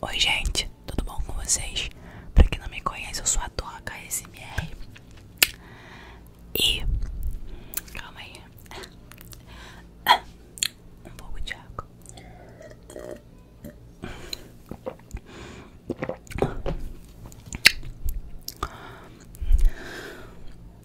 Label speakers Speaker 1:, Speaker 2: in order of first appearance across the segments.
Speaker 1: Oi gente, tudo bom com vocês? Pra quem não me conhece, eu sou a Doca SMR E... Calma aí Um pouco de água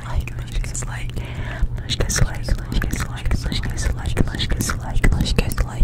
Speaker 1: like, like, guys like, guys like, guys like, guys like, guys like, guys like, guys like, like, like, like, like,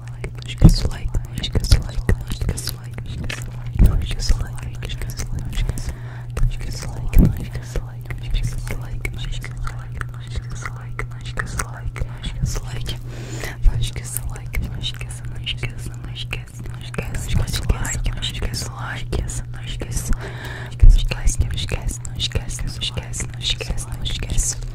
Speaker 1: não esquece o like, não esquece o like, não esquece o like, não esquece o like, não esquece o like, não esquece o like, não esquece o like, não esquece o like, não esquece o like, não esquece o like, não esquece o like, não esquece o like, não esquece o like, não esquece, não esquece, não esquece, não esquece o like, não esquece o like, não esquece, não esquece, não esquece, não esquece, não esquece, não esquece, não esquece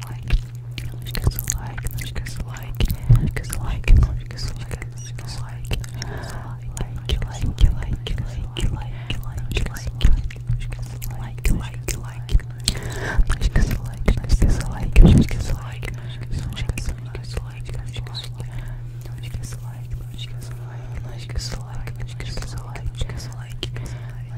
Speaker 1: like, because like, because like, because like, because like, because like, like, like, like, like, like, like, like, like, like, like, like, like, like, like,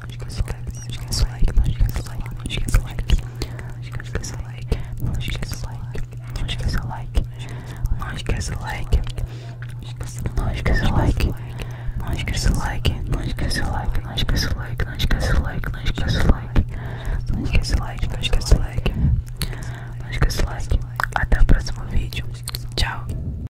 Speaker 1: não esqueça o like, não esqueça o like, não esqueça o like, não esqueça o like, não esqueça o like, não esqueça o like, não esqueça o like, não esqueça o like, não esqueça o like, não esqueça o like, não esqueça o like, não esqueça o like, não esqueça o like, não esqueça o like, não esqueça o like, não esqueça o like, não esqueça o like, até o próximo vídeo, tchau.